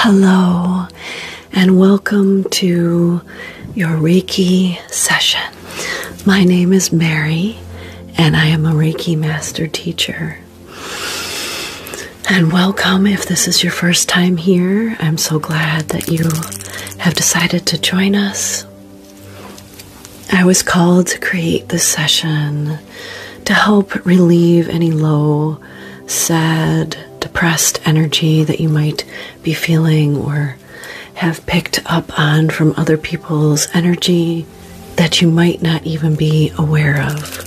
Hello, and welcome to your Reiki session. My name is Mary, and I am a Reiki Master Teacher. And welcome if this is your first time here. I'm so glad that you have decided to join us. I was called to create this session to help relieve any low, sad, depressed energy that you might be feeling or have picked up on from other people's energy that you might not even be aware of.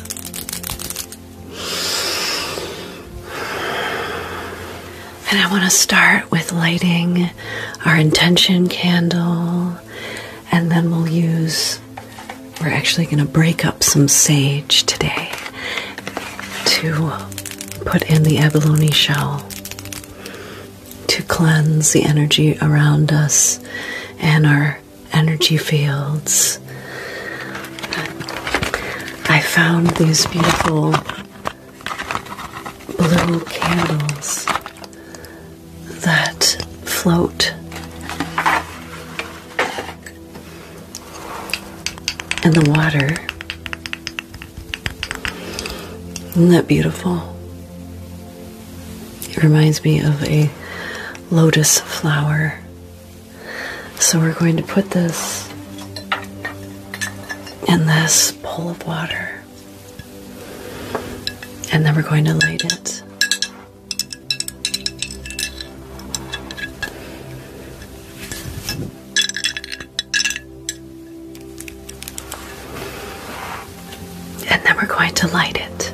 And I want to start with lighting our intention candle, and then we'll use, we're actually going to break up some sage today to put in the abalone shell to cleanse the energy around us and our energy fields. I found these beautiful blue candles that float. In the water. Isn't that beautiful? It reminds me of a lotus flower. So we're going to put this in this bowl of water. And then we're going to light it. And then we're going to light it.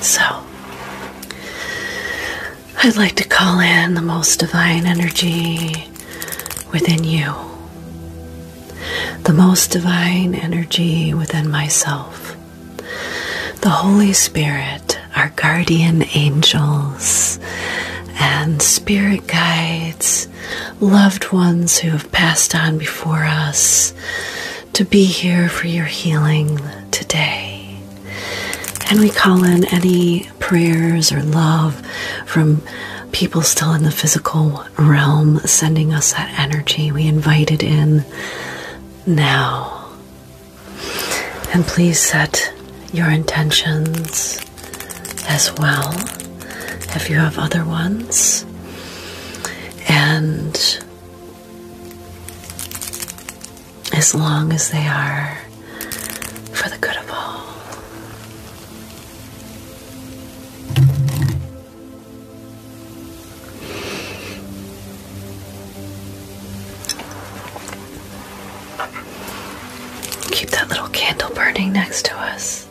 So, I'd like to call in the most divine energy within you, the most divine energy within myself, the Holy Spirit, our guardian angels, and spirit guides, loved ones who have passed on before us, to be here for your healing today. And we call in any prayers or love from people still in the physical realm sending us that energy. We invited in now. And please set your intentions as well if you have other ones. And as long as they are for the good of all. Keep that little candle burning next to us.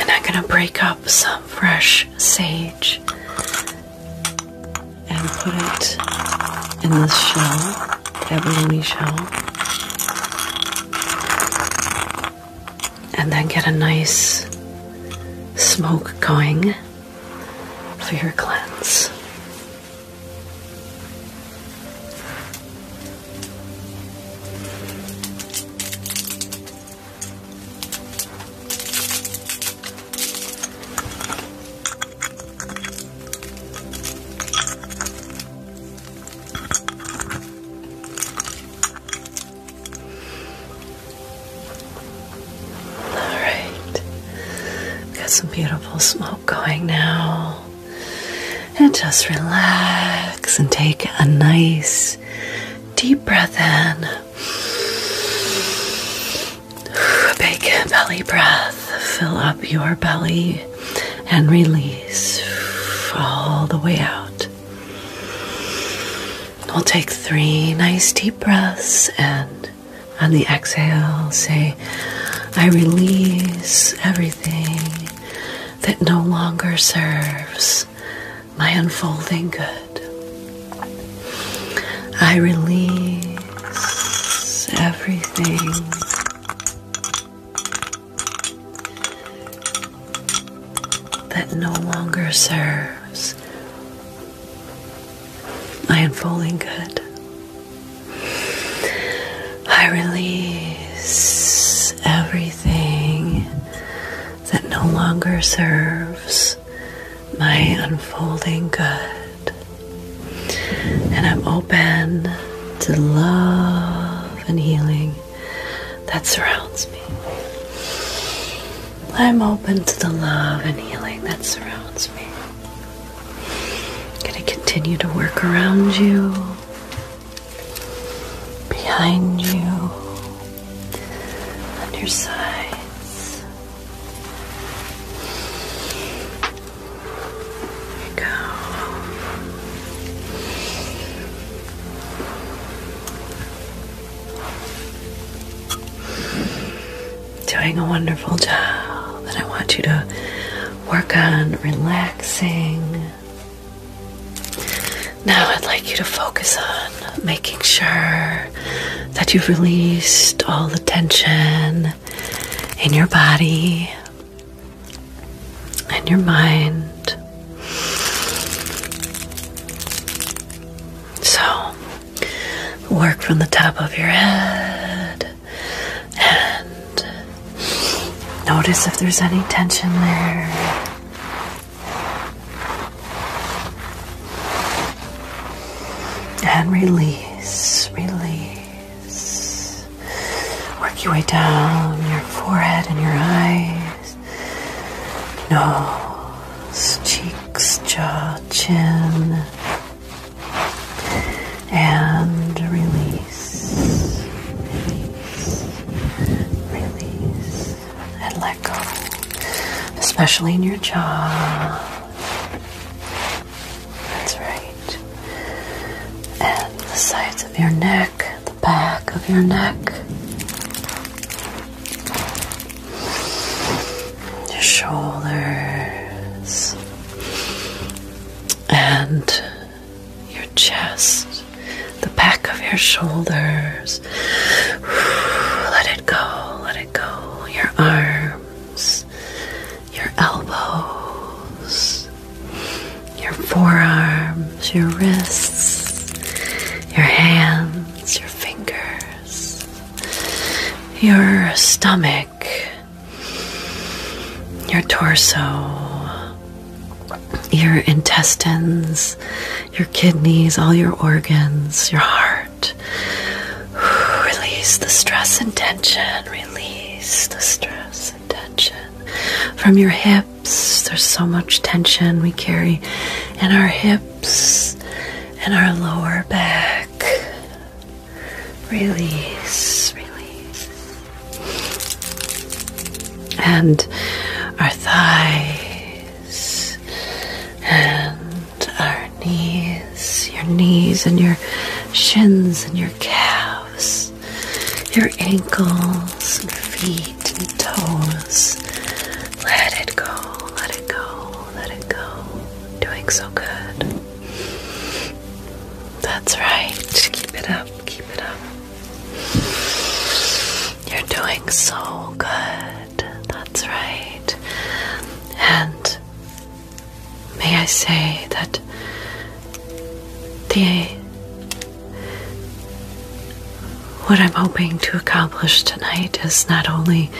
And I'm going to break up some fresh sage and put it in this shell, abalone shell. And then get a nice smoke going for your cleanse. All right, got some beautiful smoke going now. And just relax and take a nice deep breath in. big belly breath. Fill up your belly and release all the way out. We'll take three nice deep breaths and. On the exhale, say, I release everything that no longer serves my unfolding good. I release everything that no longer serves my unfolding good. I release everything that no longer serves my unfolding good. And I'm open to love and healing that surrounds me. I'm open to the love and healing that surrounds me i gonna continue to work around you, behind you, on your sides. go doing a wonderful job, and I want you to work on relaxing. Now, I'd like you to focus on making sure that you've released all the tension in your body and your mind. So, work from the top of your head and notice if there's any tension there. And release, release. Work your way down your forehead and your eyes, nose, cheeks, jaw, chin and release, release, and let go, especially in your jaw. That's right, and the sides of your neck, the back of your neck your shoulders, and your chest, the back of your shoulders. Let it go, let it go. Your arms, your elbows, your forearms, your wrists, your hands, your fingers, your stomach your torso, your intestines, your kidneys, all your organs, your heart. Release the stress and tension. Release the stress and tension from your hips. There's so much tension we carry in our hips and our lower back. Release, release. And our thighs and our knees, your knees and your shins and your calves, your ankles and feet and toes. Let it go, let it go, let it go. Doing so good. That's right. Keep it up. Keep it up. You're doing so good. That's right. And may I say that the what I'm hoping to accomplish tonight is not only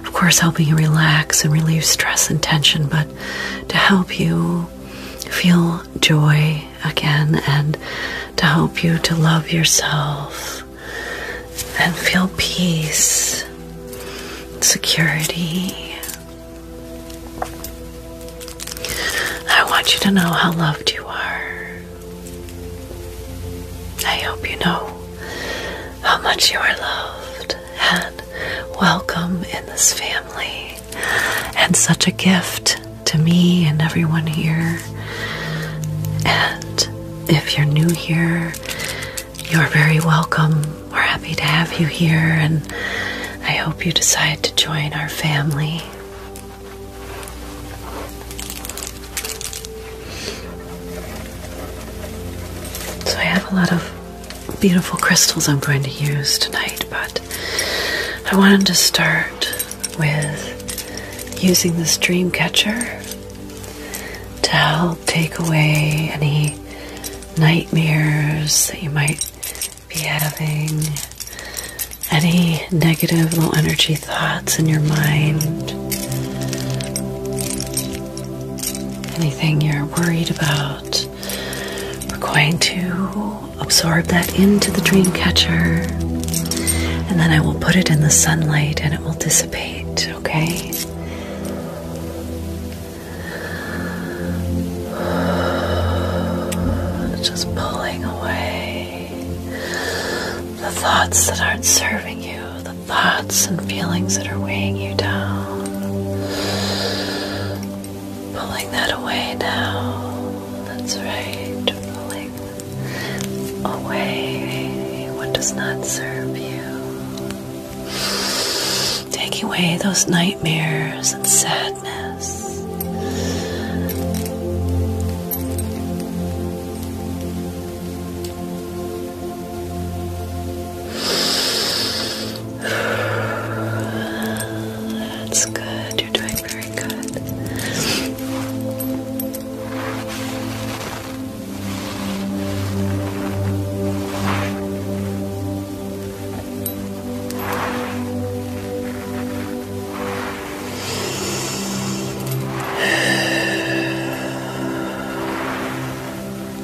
of course helping you relax and relieve stress and tension, but to help you feel joy again and to help you to love yourself and feel peace, security. I want you to know how loved you are. I hope you know how much you are loved and welcome in this family, and such a gift to me and everyone here. And if you're new here, you're very welcome. We're happy to have you here, and I hope you decide to join our family. So, I have a lot of beautiful crystals I'm going to use tonight, but I wanted to start with using this dream catcher to help take away any nightmares that you might be having, any negative low energy thoughts in your mind anything you're worried about. We're going to absorb that into the dream catcher, and then I will put it in the sunlight and it will dissipate, okay? Just pulling away the thoughts that aren't serving you, thoughts and feelings that are weighing you down. Pulling that away now. That's right. Pulling away what does not serve you. Taking away those nightmares and sadness. That's good. You're doing very good.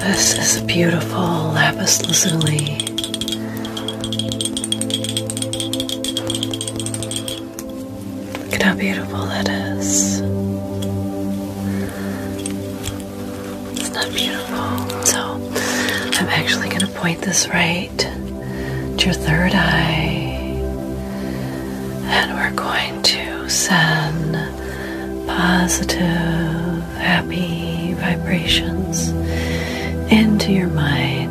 This is a beautiful lapis lazuli. Look at how beautiful that is. It's not beautiful. So I'm actually going to point this right to your third eye. And we're going to send positive, happy vibrations into your mind.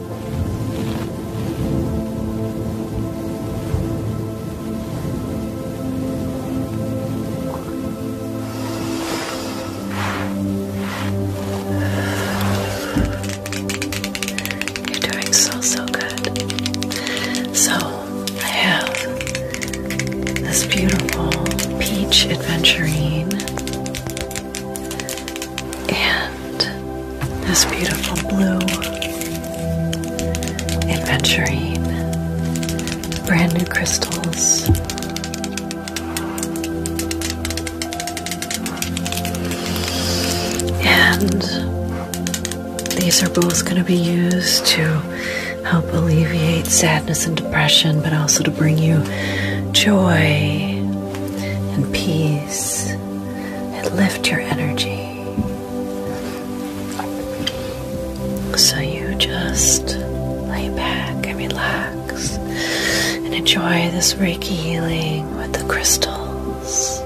You're doing so, so good. So, I have this beautiful peach adventurine and this beautiful blue adventuring brand new crystals. And these are both going to be used to help alleviate sadness and depression, but also to bring you joy and peace it and lift your energy. So you just lay back and relax and enjoy this Reiki healing with the crystals,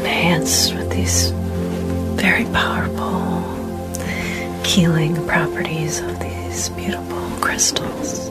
enhanced with these very powerful healing properties of these beautiful crystals.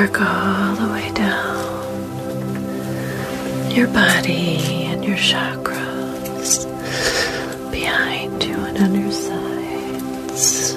Work all the way down your body and your chakras behind you and on your sides.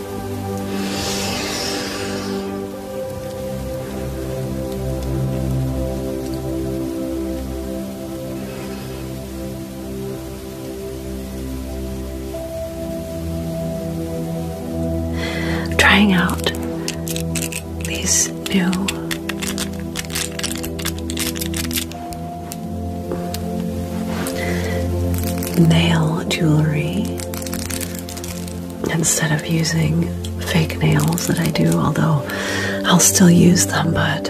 Trying out these new nail jewelry instead of using fake nails that I do, although I'll still use them, but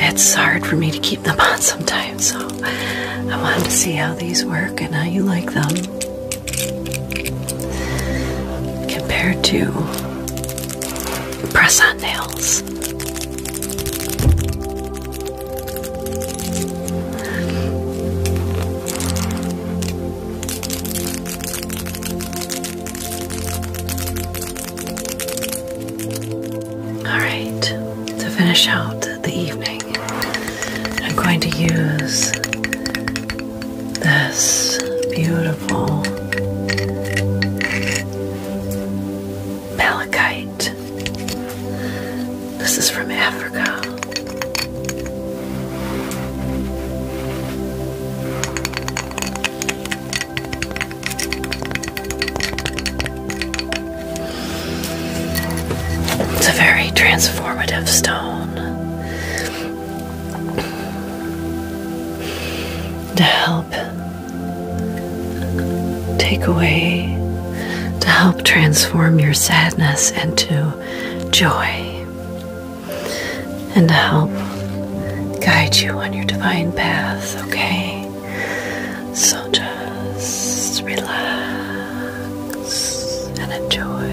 it's hard for me to keep them on sometimes. So I wanted to see how these work and how you like them compared to press on nails. All right, to finish out the evening, I'm going to use this beautiful malachite this is from Africa. It's a very transformative stone to help take away to help transform your sadness into joy and to help guide you on your divine path, okay? So just relax and enjoy.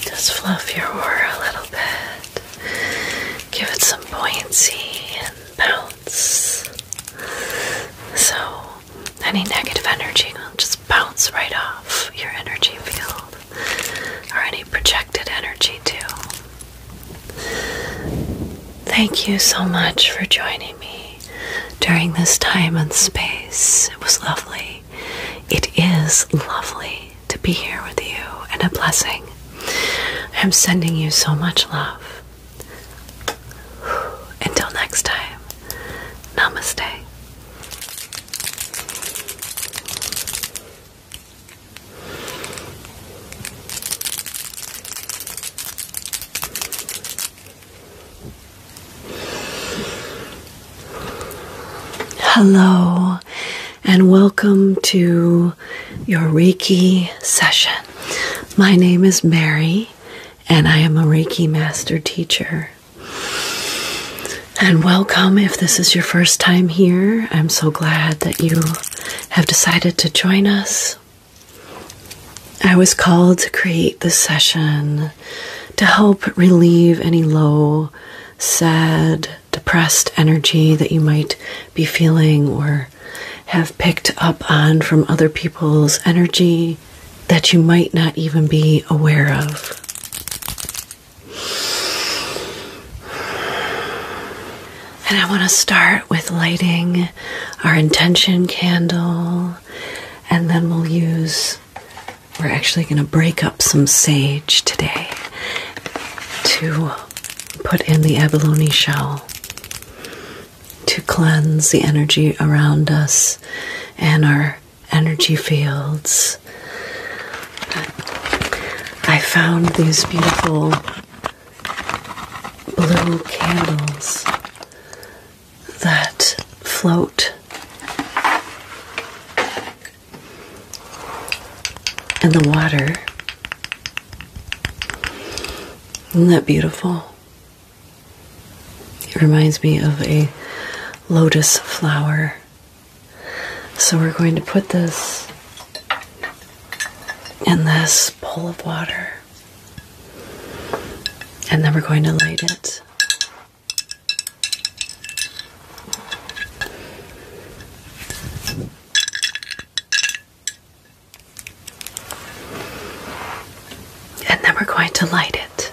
Just fluff your aura a little bit, give it some buoyancy and bounce. So, any negative energy will just bounce right off your energy field or any projected energy, too. Thank you so much for joining me during this time and space. It was lovely. It is lovely to be here with you and a blessing. I'm sending you so much love. Until next time, namaste. Hello, and welcome to your Reiki session. My name is Mary, and I am a Reiki Master Teacher and welcome if this is your first time here. I'm so glad that you have decided to join us. I was called to create this session to help relieve any low, sad, depressed energy that you might be feeling or have picked up on from other people's energy that you might not even be aware of. And I want to start with lighting our intention candle, and then we'll use, we're actually going to break up some sage today to put in the abalone shell to cleanse the energy around us and our energy fields. I found these beautiful blue candles that float. In the water. Isn't that beautiful? It reminds me of a lotus flower so we're going to put this in this bowl of water. And then we're going to light it. And then we're going to light it.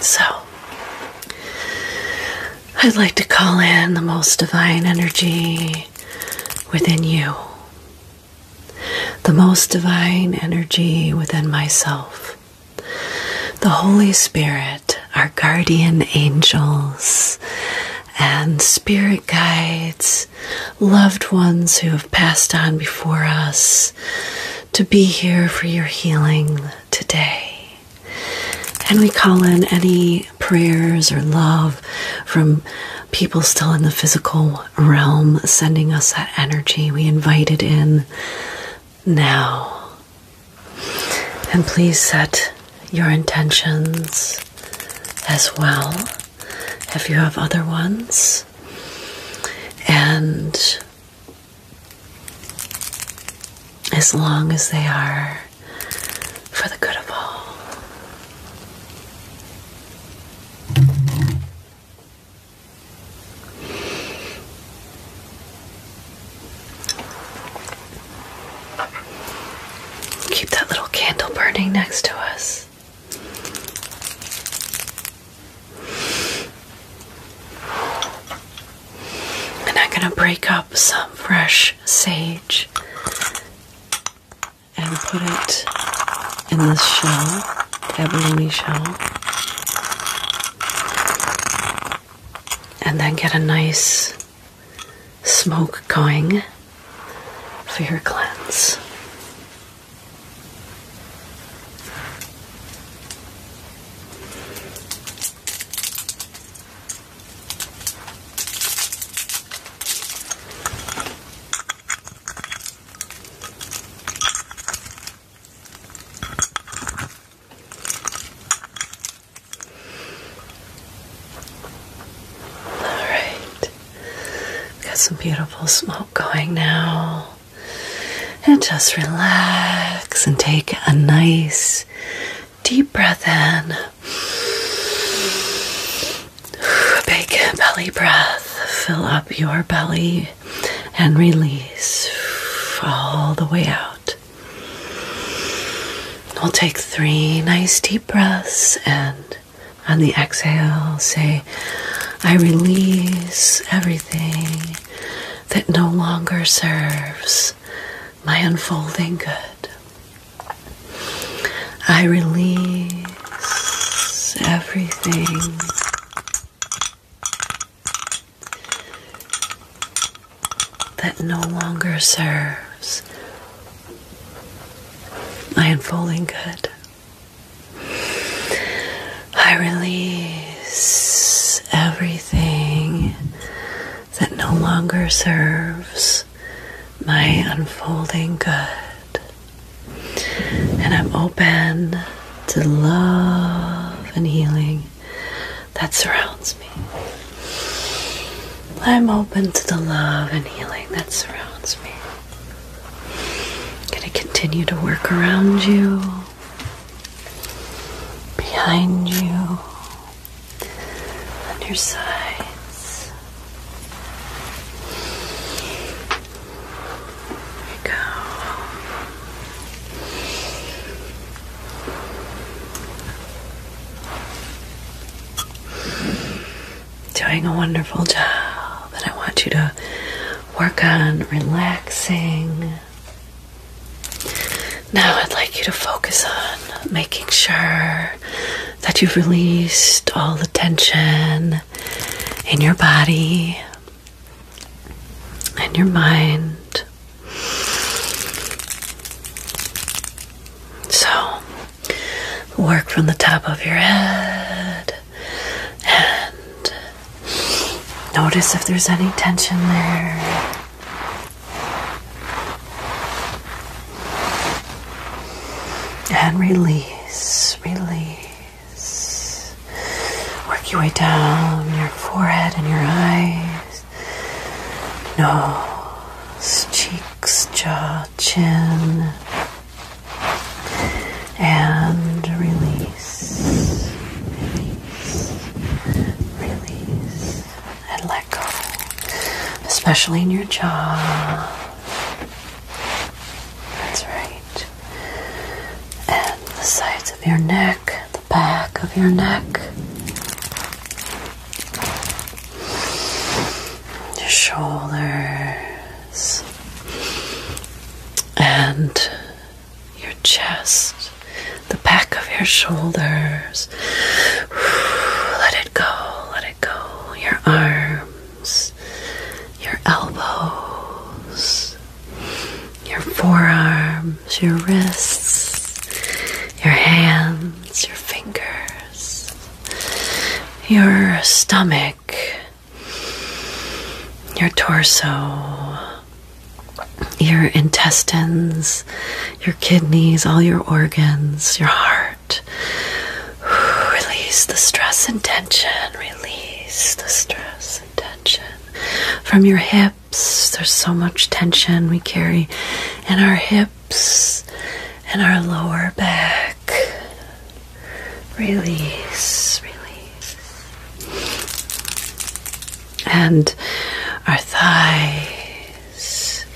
So, I'd like to call in the most divine energy within you, the most divine energy within myself, the Holy Spirit, our guardian angels, and spirit guides, loved ones who have passed on before us to be here for your healing today. And we call in any prayers or love from people still in the physical realm sending us that energy. We invited in now. And please set your intentions as well if you have other ones. And as long as they are for the good of all. Keep that little candle burning next to us. And I'm going to break up some fresh sage and put it in this shell, abalone shell. And then get a nice smoke going for your cleanse. All right, got some beautiful smoke going now and just relax and take a nice deep breath in. A big belly breath. Fill up your belly and release all the way out. We'll take three nice deep breaths and on the exhale, say, I release everything that no longer serves my unfolding good. I release everything that no longer serves my unfolding good. I release everything that no longer serves my unfolding good. And I'm open to love and healing that surrounds me. I'm open to the love and healing that surrounds me. I'm gonna continue to work around you, behind you, on your sides. There we go doing a wonderful job, and I want you to work on relaxing. Now, I'd like you to focus on making sure that you've released all the tension in your body and your mind. So, work from the top of your head and uh, notice if there's any tension there. And release, release. Work your way down your forehead and your eyes, nose, cheeks, jaw, chin and release, release, release, and let go, especially in your jaw. That's right. And the sides of your neck, the back of your neck, your shoulder and your chest, the back of your shoulders. Let it go, let it go. Your arms, your elbows, your forearms, your wrists, your hands, your fingers, your stomach your torso, your intestines, your kidneys, all your organs, your heart. Release the stress and tension. Release the stress and tension from your hips. There's so much tension we carry in our hips and our lower back. Release, release. And our thighs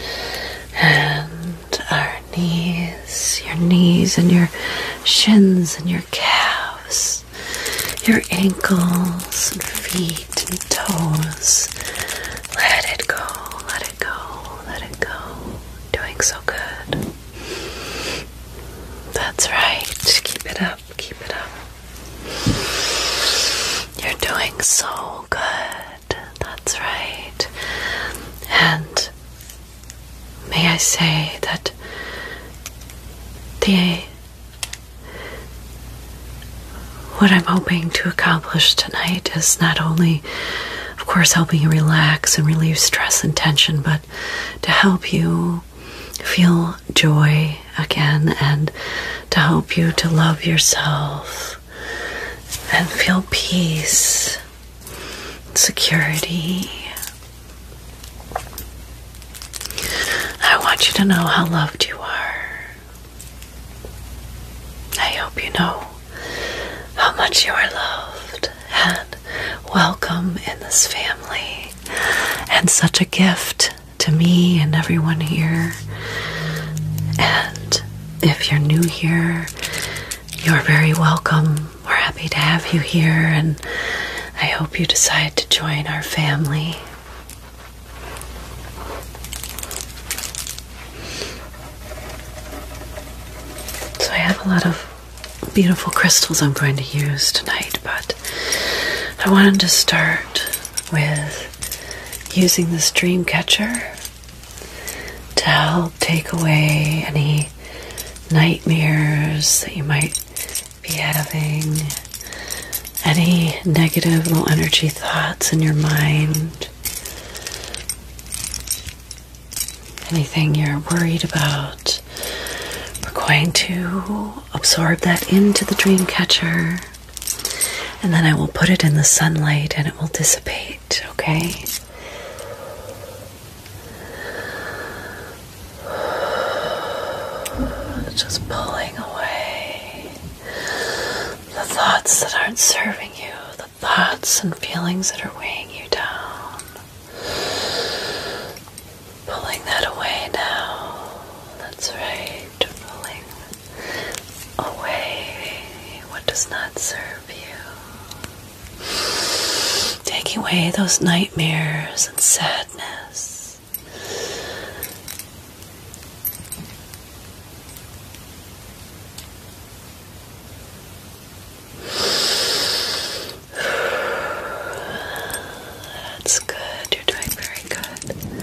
and our knees, your knees and your shins and your calves, your ankles and feet and toes. Let it go, let it go, let it go. Doing so good. That's right. Keep it up. Keep it up. You're doing so good. That's right. And may I say that the what I'm hoping to accomplish tonight is not only, of course, helping you relax and relieve stress and tension, but to help you feel joy again and to help you to love yourself and feel peace, security. I want you to know how loved you are. I hope you know how much you are loved and welcome in this family, and such a gift to me and everyone here. And if you're new here, you're very welcome. We're happy to have you here, and I hope you decide to join our family. So, I have a lot of beautiful crystals I'm going to use tonight, but I wanted to start with using this dream catcher to help take away any nightmares that you might be having, any negative little energy thoughts in your mind anything you're worried about. We're going to absorb that into the dream catcher, and then I will put it in the sunlight and it will dissipate, okay? Just pulling away the thoughts that aren't serving you, thoughts and feelings that are weighing you down. Pulling that away now. That's right, pulling away what does not serve you. Taking away those nightmares and sadness. That's good. You're doing very good.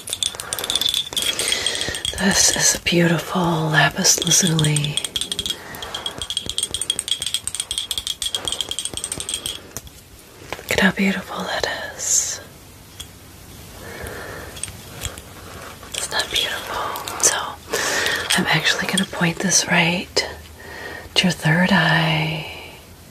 This is a beautiful lapis lazuli. Look at how beautiful that is. It's not beautiful. So, I'm actually going to point this right to your third eye.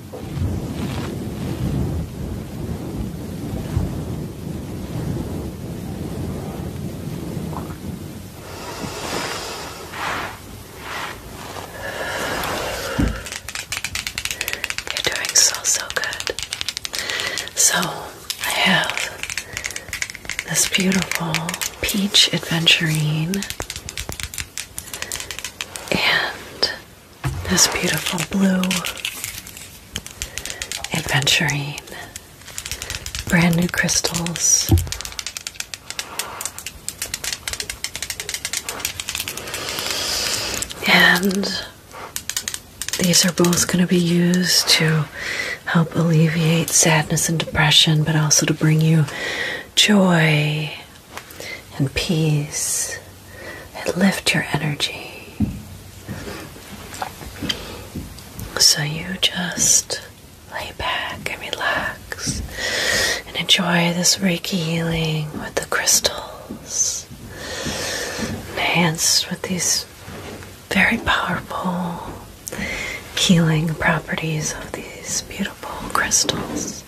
You're doing so, so good. So, I have this beautiful peach adventuring and this beautiful blue adventuring brand new crystals. And these are both going to be used to help alleviate sadness and depression, but also to bring you joy, and peace and lift your energy. So you just lay back and relax and enjoy this Reiki healing with the crystals, enhanced with these very powerful healing properties of these beautiful crystals.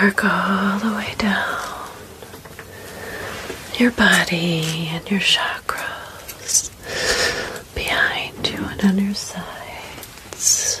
Work all the way down your body and your chakras behind you and on your sides.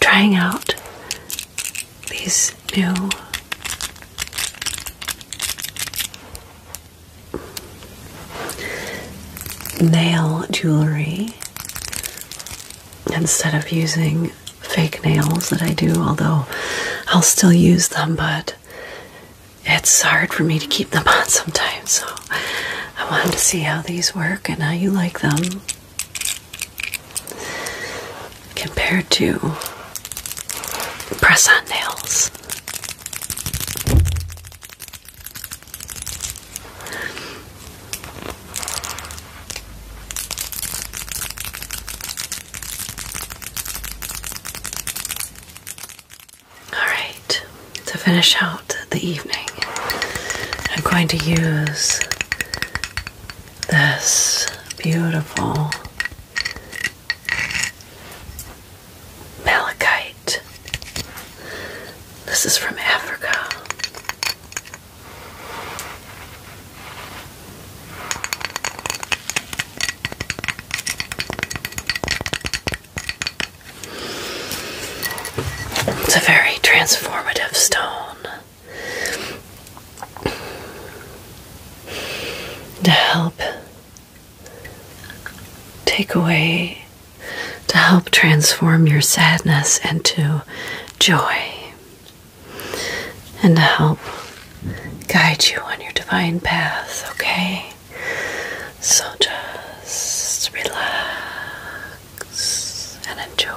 Trying out these new nail jewelry instead of using fake nails that I do, although I'll still use them, but it's hard for me to keep them on sometimes. So I wanted to see how these work and how you like them compared to press on nails. Alright, to finish out the evening, I'm going to use this beautiful malachite this is from Africa. It's a very transformative stone. To help take away to help transform your sadness into joy and to help guide you on your divine path, okay? So just relax and enjoy.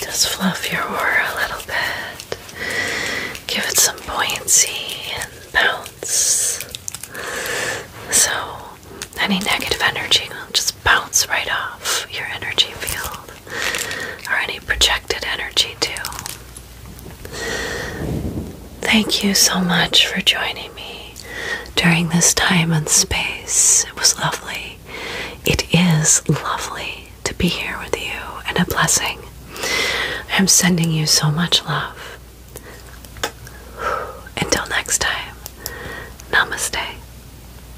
Just fluff your aura a little bit, give it some buoyancy and bounce. So, any negative energy will just bounce right off your energy field or any projected energy, too. Thank you so much for joining me during this time and space. It was lovely. It is lovely to be here with you and a blessing. I'm sending you so much love. Until next time, namaste.